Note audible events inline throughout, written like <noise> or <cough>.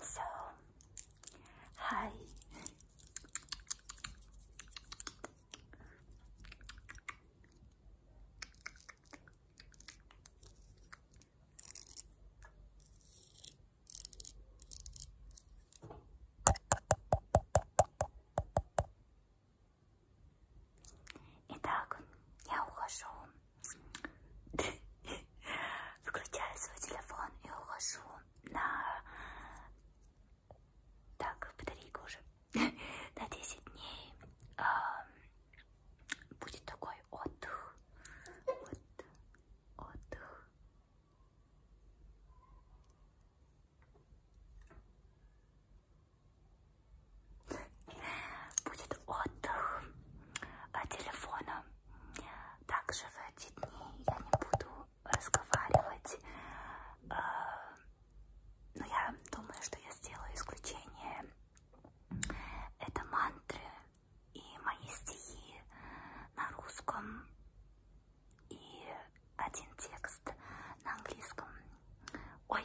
So, hi. Итак, я ухожу. <laughs> Выключаю свой телефон и ухожу на... Так, батарейка уже. <laughs> На 10 дней будет такой отдых. Вот, отдых. Будет отдых от телефона. Также в эти дни я не буду разговаривать. А, но я думаю, что я сделаю исключение. Это мантры и мои стихи на русском и один текст на английском. Ой,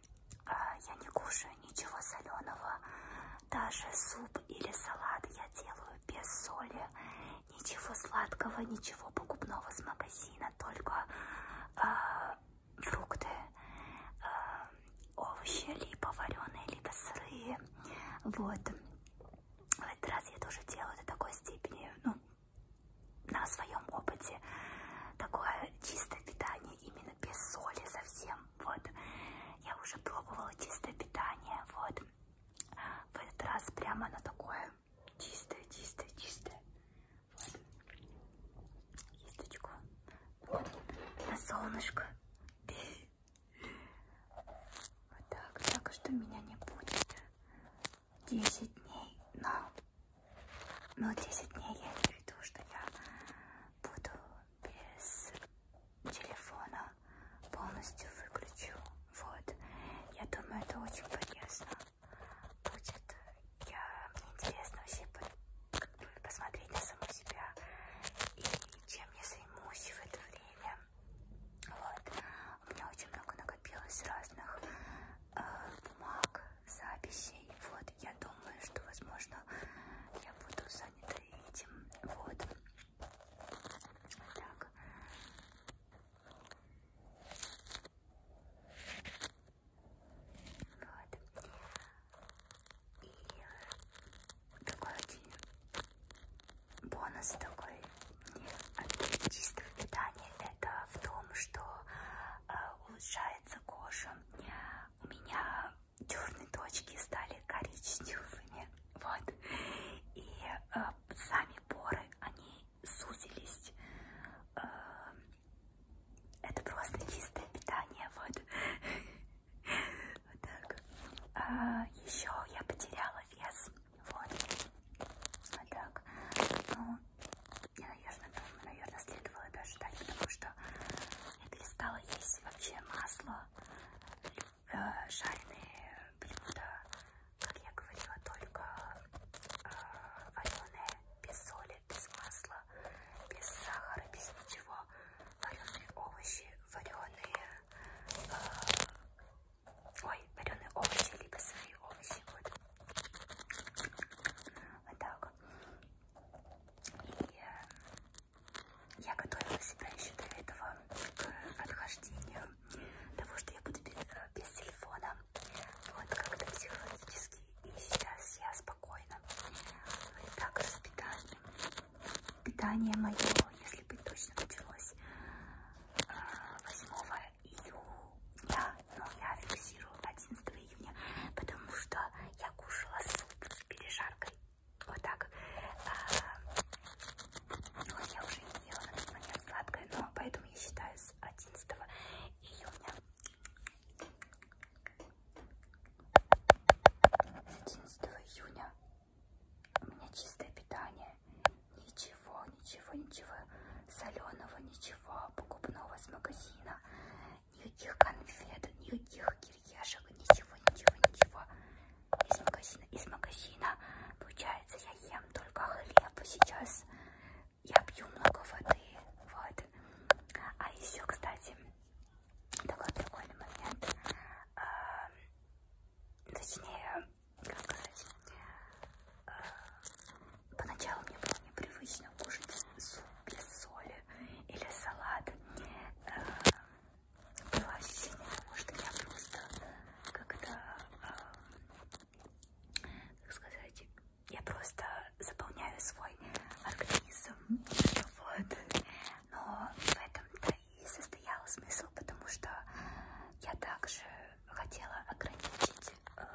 А, я не кушаю ничего соленого, даже суп или салат я делаю без соли, ничего сладкого, ничего покупного с магазина, только э, фрукты, э, овощи, либо вареные, либо сырые, вот. В этот раз я тоже делаю до такой степени, ну, на своем опыте, такое чистое питание именно без соли совсем, вот. Я уже пробовала чистое питание, вот. В этот раз прямо оно такое чистое, чистое, чистое. Вот. Кисточку. Вот. На солнышко. Вот так. Так что меня не будет 10 дней, но но ну, 10 дней я имею в виду, что я буду без телефона полностью выключу. Вот. Я думаю, это очень полезно будет. Я, мне интересно вообще по, как бы посмотреть на саму себя и чем я займусь в это время. Вот. У меня очень много накопилось разных э, бумаг, записей. Вот. Вот, я думаю, что, возможно, я буду занята этим. Вот. Так. Вот. И такой один бонус такой от чистого питания это в том, что э, улучшается кожа. У меня черные точки стали коричневыми. Вот. И э, сами поры, они сузились. Э, это просто чистое питание. Вот. вот так. А, еще я потеряла вес. Вот. Вот так. Ну, я, наверное, думаю, наверное, следовало это ожидать, потому что это листала есть вообще масло, э, жареные блюда, как я говорила, только э, вареные, без соли, без масла, без сахара, без ничего, вареные овощи, вареные... Э, Ой, вареные овощи, либо свои овощи, вот, вот так. И э, я готовила себя еще до этого к э, отхождению того, что я буду без, э, без телефона. Вот как-то психологически. И сейчас я спокойно. И так же с питанием. Питание мое, если быть точно, началось 8 июня, но я фиксирую 11 июня, потому что я кушала суп с пережаркой. Вот так. А, ну, я уже не ела на тот момент сладкое, но поэтому я считаю с 11 июня. С 11 июня у меня чистое питание ничего, ничего, ничего соленого, ничего покупного с магазина, никаких конфет, никаких кириешек, ничего, ничего, ничего из магазина. Из магазина получается я ем только хлеб сейчас, я пью много воды, вот. А еще, кстати, такой прикольный момент, эм, точнее сказать, э, поначалу мне было непривычно кушать суп без соли или салат. Э, было ощущение того, что я просто как-то, э, как сказать, я просто заполняю свой организм. Вот. Но в этом-то и состоял смысл, потому что я также хотела ограничить, э,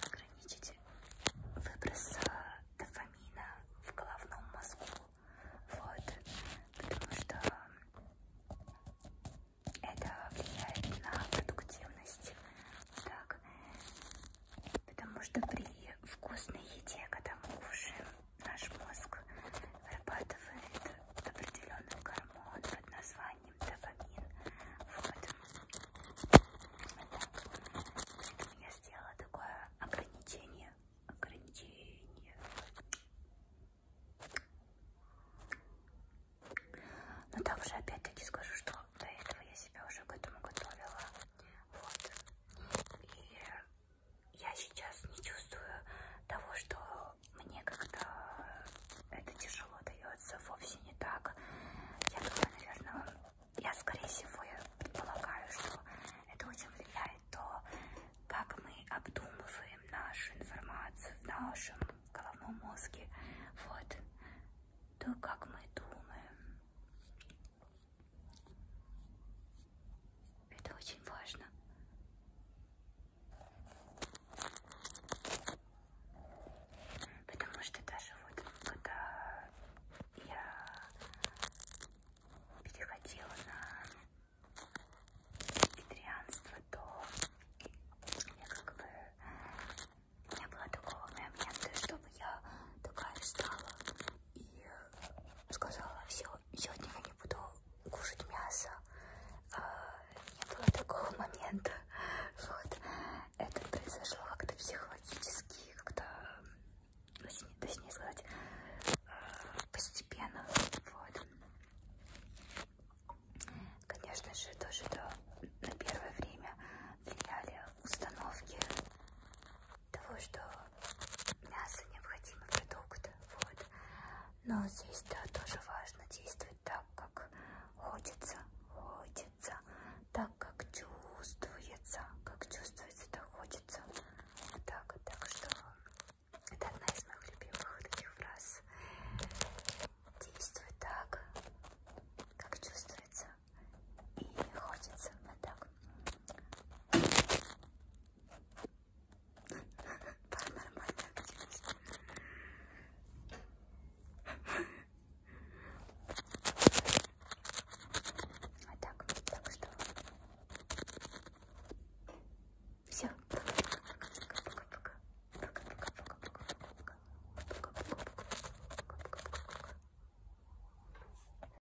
ограничить выброс э, дофамина в головном мозгу. Вот, потому что это влияет на продуктивность. Так, потому что при вкусной еде, когда мы кушаем, наш мозг вырабатывает определенный гормон под названием дофамин. Вот. Так. Я сделала такое ограничение. Ограничение. Но также опять-таки скажу, что до этого я себя уже к этому готовила. Вот. И я сейчас не чувствую того, что мне как-то это тяжело дается, вовсе не так. Я думаю, наверное, я, скорее всего, я предполагаю, что это очень влияет то, как мы обдумываем нашу информацию в нашем головном мозге. Вот. То, как мы думаем. Это очень важно. Потому что даже вот когда я переходила на вегетарианство, то я как бы не было такого момента, чтобы я такая стала и сказала, все, сегодня я не буду кушать мясо. А, не было такого момента. Вот. Это произошло как-то психологически, как-то, точнее ну, сказать, а, постепенно. Вот. Конечно же, тоже да, на первое время влияли установки того, что мясо необходимый продукт. Вот. Но здесь-то тоже важно действовать так, как хочется, хочется, так, как чувствуется, как чувствуется, так хочется. Вот так, так что это одна из моих любимых таких фраз. Действуй так, как чувствуется и хочется. Вот так. Паранормальная активность. А так, так что... Все, пока-пока-пока. Пока-пока-пока-пока. Пока-пока-пока.